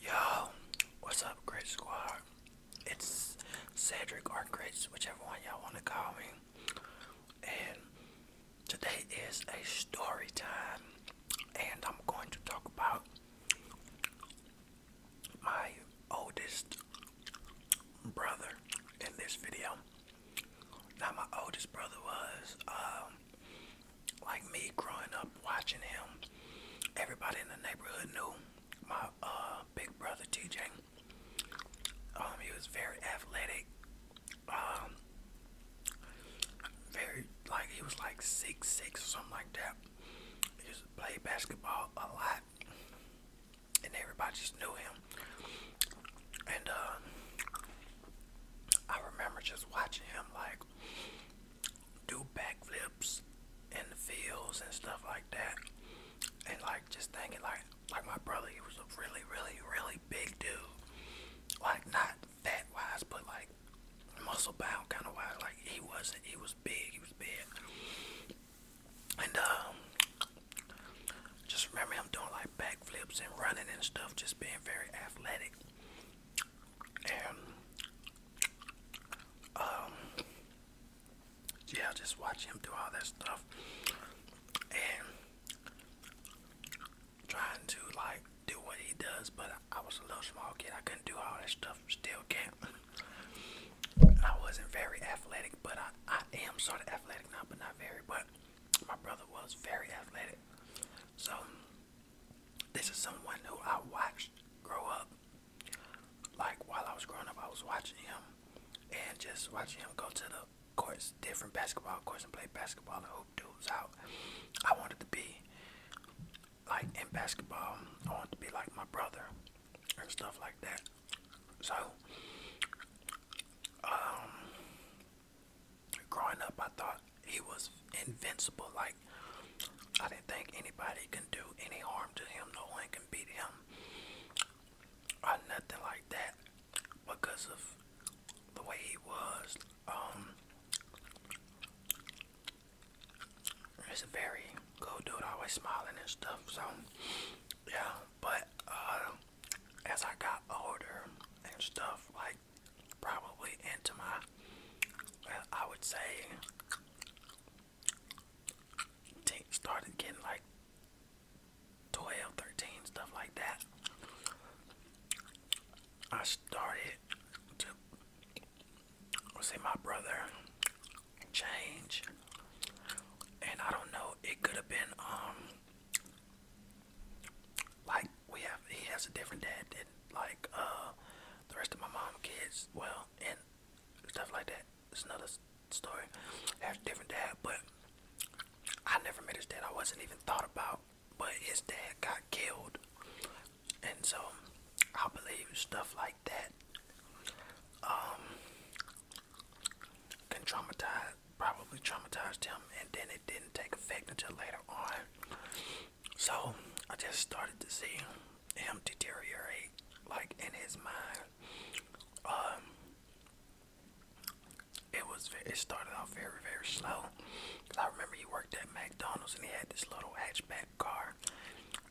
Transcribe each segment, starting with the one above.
Yo, what's up, Great Squad? It's Cedric or Grace, whichever one y'all want to call me. And today is a story time, and I'm going to talk about my oldest brother in this video. Now, my oldest brother was um, like me growing up watching him, everybody in the neighborhood knew my uh, big brother TJ. Um, he was very athletic. Um, very like he was like six six or something like that. He used to play basketball a lot, and everybody just knew him. And uh, I remember just watching him like do backflips in the fields and stuff like that. And like just thinking like like my brother, he was really, really, really big dude. Like not fat wise, but like muscle bound kind of wise. Like he wasn't. He was big. He was big. And um, just remember I'm doing like backflips and running and stuff. Just being very athletic. And um, yeah, just watch him do all that stuff and trying to like do what he does, but I, was a little small kid. I couldn't do all that stuff. Still can I wasn't very athletic, but I, I am sort of athletic now, but not very. But my brother was very athletic. So this is someone who I watched grow up. Like while I was growing up, I was watching him and just watching him go to the courts, different basketball courts, and play basketball and hoop dudes out. I wanted to be like in basketball. I wanted to be like my brother and stuff like that. So, um, growing up, I thought he was invincible. Like I didn't think anybody can do any harm to him. No one can beat him or nothing like that because of the way he was. Um, it's a very cool dude, always smiling and stuff. So yeah, but uh, as I got older and stuff, like probably into my, I would say, started getting like 12, stuff like that. I started to see my brother change, and I don't know, it could have been, um, like we have he has a different dad than like uh the rest of my mom kids well and stuff like that it's another story has a different dad but i never met his dad i wasn't even thought about but his dad got killed and so i believe stuff like that um, can traumatize probably traumatized him and then it didn't take effect until later on so I just started to see him deteriorate, like in his mind. Um, it was it started out very very slow. Cause I remember he worked at McDonald's and he had this little hatchback car,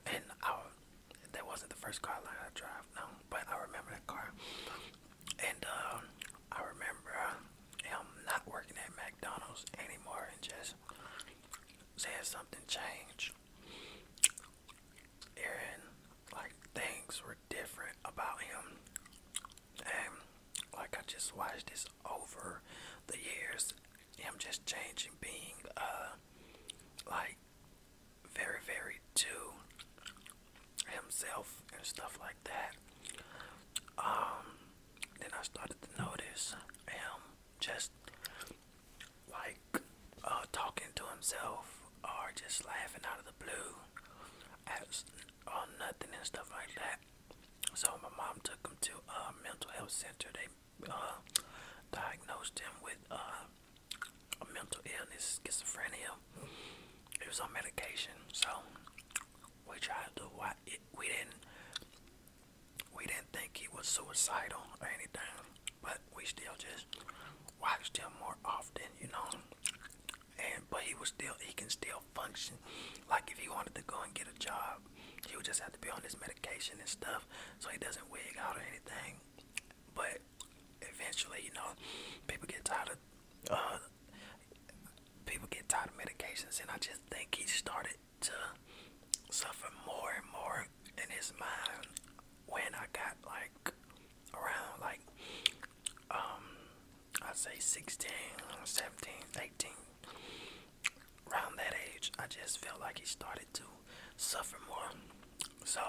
and I that wasn't the first car I drive, no, but I remember that car. And um, I remember him not working at McDonald's anymore and just said something changed and like things were different about him and like I just watched this over the years him just changing being uh like very very to himself and stuff like that um then I started to notice him just like uh, talking to himself or just laughing out of the blue at or nothing and stuff like that. So my mom took him to a mental health center. They uh, diagnosed him with uh, a mental illness, schizophrenia. He was on medication, so we tried to. It, we didn't we didn't think he was suicidal or anything, but we still just watched him more often, you know. And but he was still he can still function. Like if he wanted to go and get a job, he would just have to be on this medication and stuff, so he doesn't wig out or anything. But eventually, you know, people get tired of. Uh, people get tired of medications and I just think he started to suffer more and more in his mind when I got like around like um i say 16, 17, 18 around that age I just felt like he started to suffer more so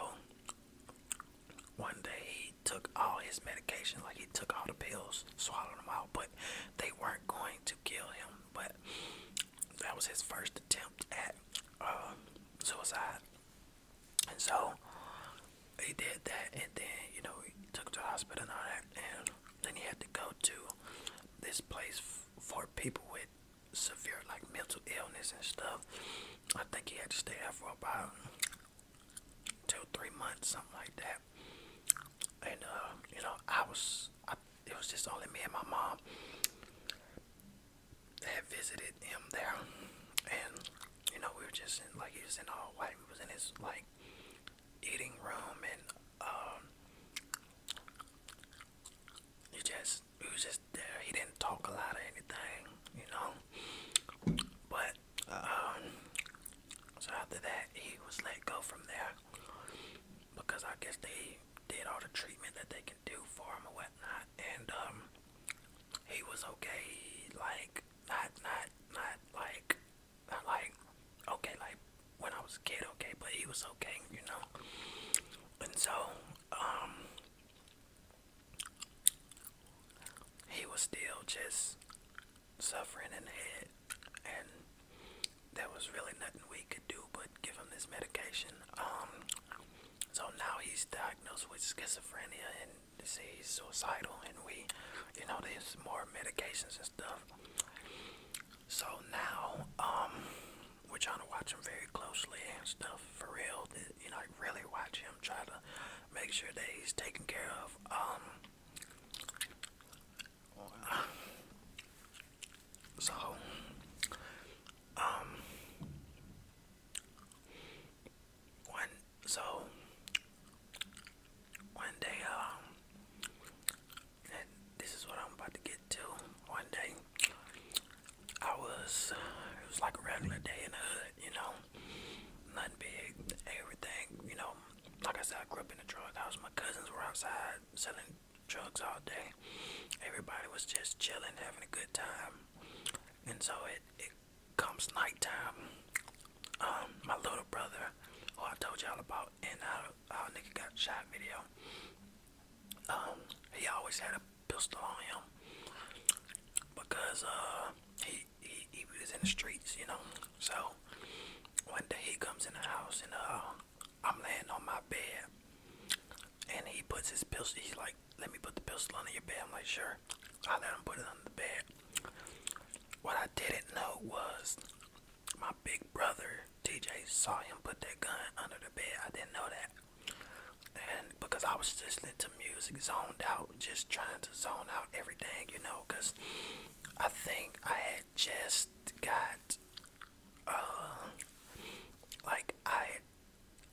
one day he took all his medication like he took all the pills swallowed them out but they weren't going to kill him. But that was his first attempt at uh, suicide. And so he did that, and then you know he took him to the hospital and all that, and then he had to go to this place for people with severe like mental illness and stuff. I think he had to stay there for about two, three months, something like that. And uh, you know, I was it was just only me and my mom They had visited him there, and you know we were just in, like he was in all white. He was in his like eating room, and um, he just he was just there. He didn't talk a lot or anything, you know. But um, so after that, he was let go from there because I guess they did all the treatment that they can do for him and whatnot. And um, he was okay, like not not not like not like okay like when I was kid, okay, but he was okay, you know. And so um, he was still just suffering in the head and there was really nothing we could do but give him this medication. Um, so now he's diagnosed with schizophrenia and say he's suicidal, and we, you know, there's more medications and stuff. So now, um, we're trying to watch him very closely and stuff for real. You know, really watch him, try to make sure that he's taken care of. Um, so, um, one, so, one day, um, this is what I'm about to get to. One day, I was, it was like a regular day in the hood, you know, nothing big, everything, you know, like I said, I grew up in a drug house. My cousins were outside selling drugs all day. Everybody was just chilling, having a good time. And so it, it comes nighttime. Um, my little brother, who I told y'all about in our, our nigga got shot video, um, he always had a pistol on him because uh, he, he, he was in the streets, you know. So one day he comes in the house and uh, I'm laying on my bed and he puts his pistol. He's like, "Let me put the pistol under your bed." I'm like, "Sure." I let him put it under the bed. What I didn't know was my big brother TJ saw him put that gun under the bed. I didn't know that. And because I was listening to music, zoned out, just trying to zone out everything, you know, because I think I had I just got uh like I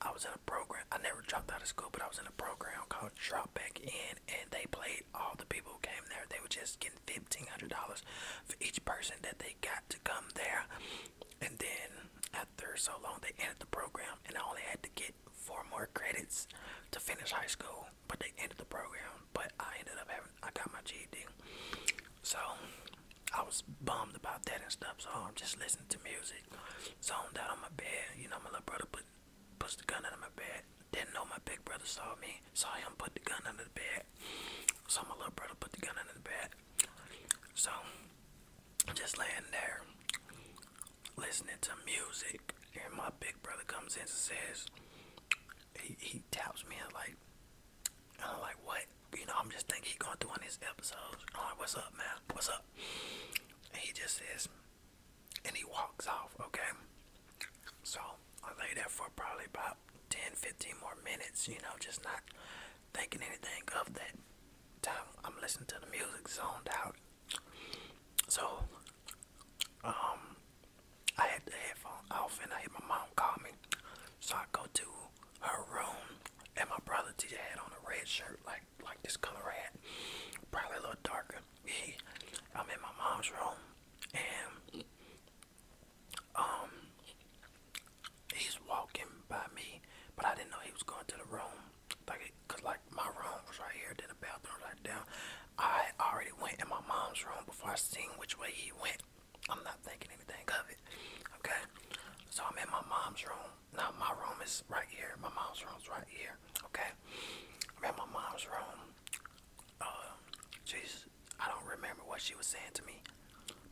I was in a program I never dropped out of school but I was in a program called Drop Back In and they played all the people who came there. They were just getting fifteen hundred dollars for each person that they got to come there. And then after so long they ended the program and I only had to get four more credits to finish high school but they ended the program. But I ended up having I got my GED, so I was bummed about that and stuff. So I'm just listening to music, zoned out on my bed. You know, my little brother put pushed the gun under my bed. Didn't know my big brother saw me, saw him put the gun under the bed. So my little brother put the gun under the bed. So I'm just laying there listening to music, and my big brother comes in and says, he, taps me and like, and I'm like, what? You know, I'm just thinking he going through on his episodes. I'm like, what's up, man? What's up? he just says, and he walks off, okay? So I lay there for probably about 10, 15 more minutes, you know, just not thinking anything of that time. I'm listening to the music zoned out. So um, I had the headphone off and I had my mom call me. So I go to her room and my brother TJ had on a red shirt like like this color red. Probably a little darker. He, I'm in my mom's room and um he's walking by me but I didn't know he was going to the room. Like, like my room was right here, then the bathroom was right down. I already went in my mom's room before I seen which way he went. I'm not thinking anything of it. Okay? So I'm in my mom's room. Now my room is right here. My mom's room is right here. Okay? I'm in my mom's room. Uh, I don't remember what she was saying to me,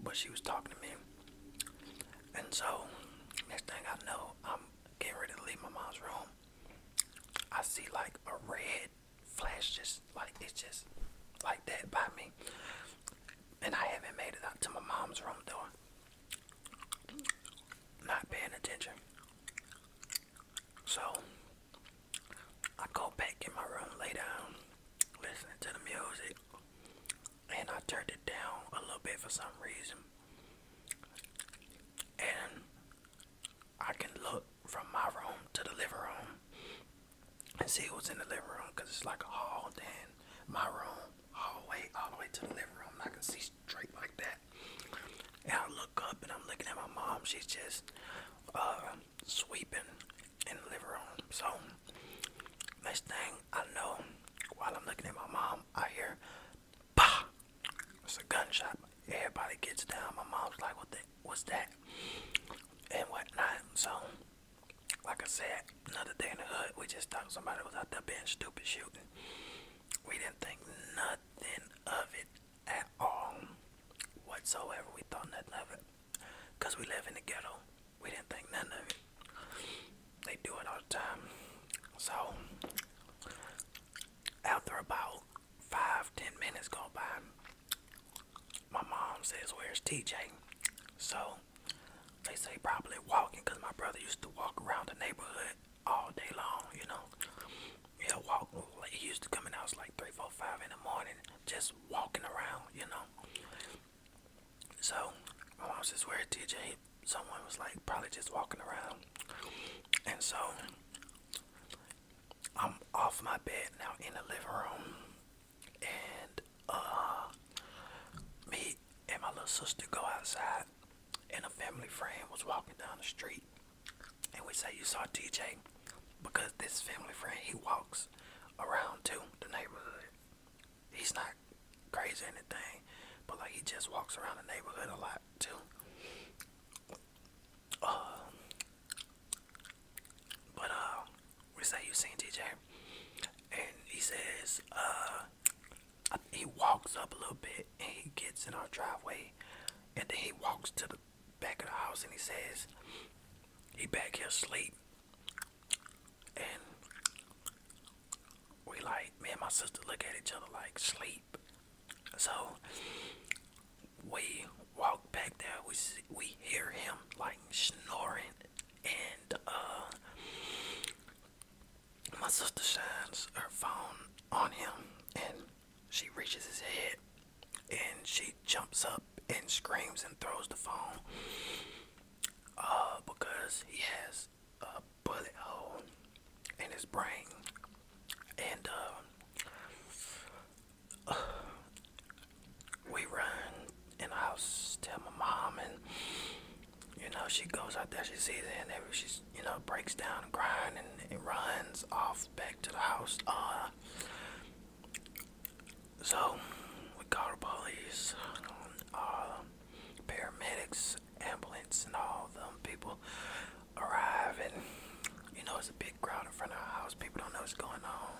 but she was talking to me. And so, next thing I know, I'm getting ready to leave my mom's room. I see like a red flash just like it's just like that by me. And I haven't made it out to my mom's room door. Not paying attention. So I go back in my room, lay down, listening to the music, and I turned it down a little bit for some reason. And I can look from my room to the living room and see what's in the living room because it's like a hall, my room, hallway, all the way to the living room. I can see straight like that. And I look up and I'm looking at my mom. She's just uh, sweeping in the living room. So, next thing I know, while I'm looking at my mom, I hear, bah! It's a gunshot everybody gets down. My mom's like, "What the? What's that?" And whatnot. So, like I said, another day in the hood, we just thought somebody was out there being stupid shooting. We didn't think nothing of it at all, whatsoever. We thought nothing of it, cause we live in the ghetto. We didn't think none of it. They do it all the time. So, after about five, ten minutes go by, my mom says, Where's TJ? So they say probably walking because my brother used to walk around the neighborhood all day long, you know. He'll walk, he used to come in the house like three, four, five in the morning, just walking around, you know. So my mom says, Where's TJ? Someone was like, Probably just walking around. And so I'm off my bed now in the living room, and uh, me and my little sister go outside, and a family friend was walking down the street, and we say you saw TJ because this family friend he walks around too the neighborhood. He's not crazy anything, but like he just walks around the neighborhood a lot too. Uh, but uh, we say you seen TJ, and he says uh, he walks up a little bit and he gets in our driveway, and then he walks to the back of the house and he says he back here sleep, and we like me and my sister look at each other like sleep. So we walk back there. We we hear him like snoring, and uh, my sister shines her phone on him, and she reaches his head, and she jumps up and screams and throws the phone. Uh, because he has a bullet hole in his brain, and uh, we run in the house, tell my mom, and you know she goes out there, she sees it, and every she's you know breaks down, and grind, and runs off back to the house. Uh, so we call the police, uh, paramedics, ambulance, and all them people arrive and you know it's a big crowd in front of our house people don't know what's going on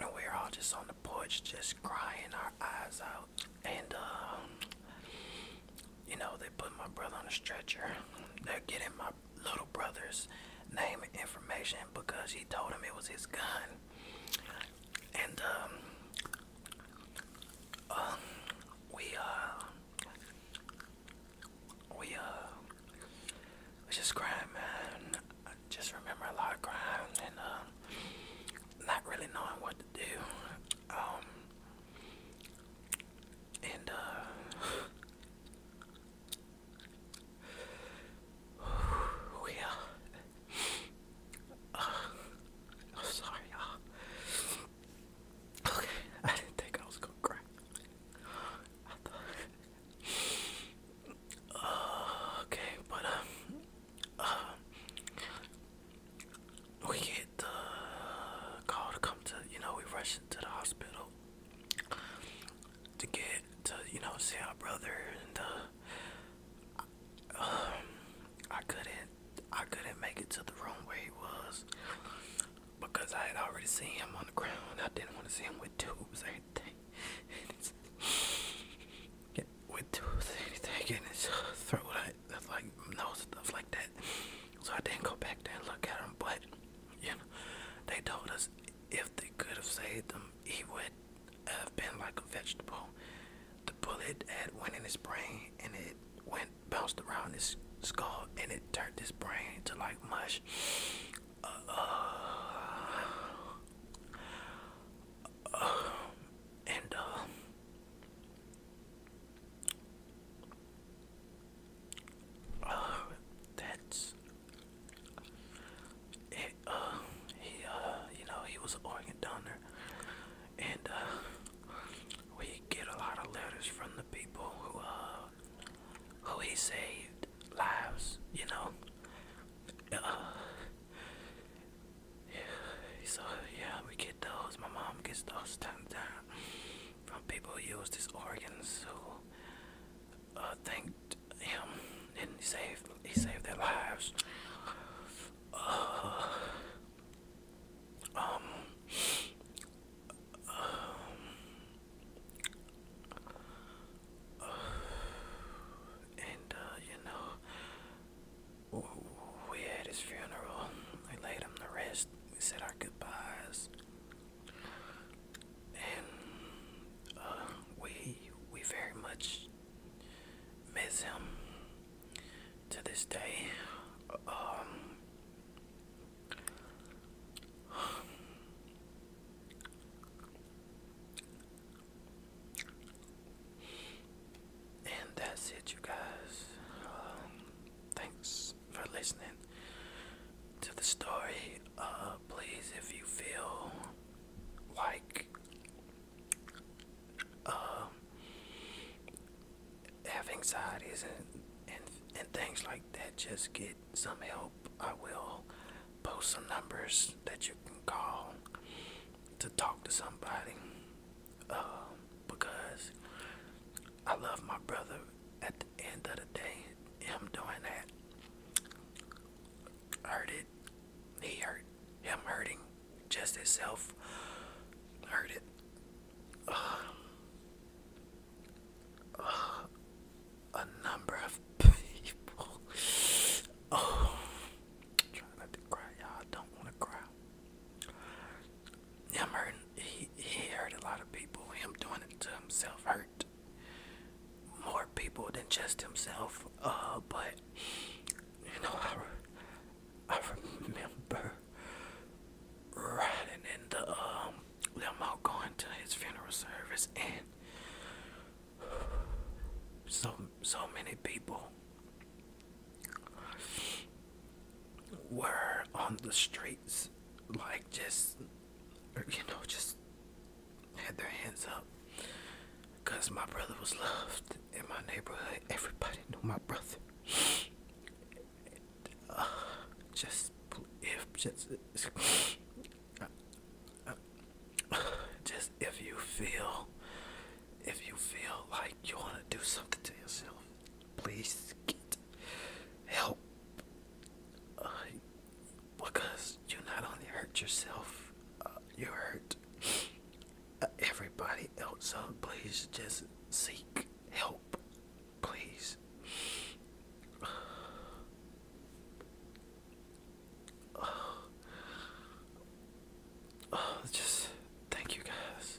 and we're all just on the porch just crying our eyes out and um you know they put my brother on a stretcher they're getting my little brother's name and information because he told them it was his gun and um uh, we uh we uh just grind man just remember a lot of crime and uh, not really knowing what to do um and uh we uh, uh I'm sorry y'all Okay, I didn't think I was gonna cry. okay, but um, uh, we get the call to come to, you know, we rush into the hospital to get to, you know, see our brother, and uh, um, I couldn't, I couldn't make it to the room where he was because I had already seen him on the ground. I didn't want to see him with tubes or anything. yeah, with tubes or anything getting his throat, that's like nose stuff like that. So I didn't go back there and look at him, but you know, they told us if they could have saved him, he would have been like a vegetable. The bullet had went in his brain and it went bounced around his skull and it turned his brain to like mush. and uh, that's Uh, he, uh, you know, he was an organ donor, and uh, we get a lot of letters from the people who uh, who he saved lives, you know. Uh, so yeah, we get those. My mom gets those time time from people who used his organs who uh, thanked him and he saved he saved their lives. Uh, um, um, and uh, you know, we had his funeral. We laid him to rest. We said our goodbyes, and uh, we we very much miss him to this day. Um, and that's it, you guys. Um, thanks for listening to the story. Uh, please, if you feel like um, have anxieties and, and and things like that, just get some help. I will post some numbers that you can call to talk to somebody. Um, because I love my brother at the end of the day. Him doing that hurt it. He hurt him hurting just himself hurt a number of people. Oh, I'm trying not to cry, y'all. Don't want to cry. Him hurting, he, hurt a lot of people. Him doing it to himself hurt more people than just himself. Uh, but you know, I remember riding in the um, limo going to his funeral service and so so many people were on the streets like just you know just had their hands up because my brother was loved in my neighborhood everybody knew my brother just if just just if you feel if you feel like you want to do something to yourself, please get help because you not only hurt yourself, uh, you hurt everybody else. So please just seek help. Please. Oh. just thank you guys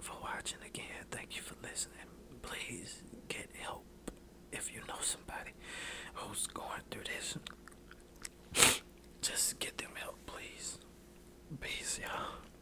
for watching again. Thank you for listening. Please get help if you know somebody who's going through this. Just get them help, please. Peace, y'all.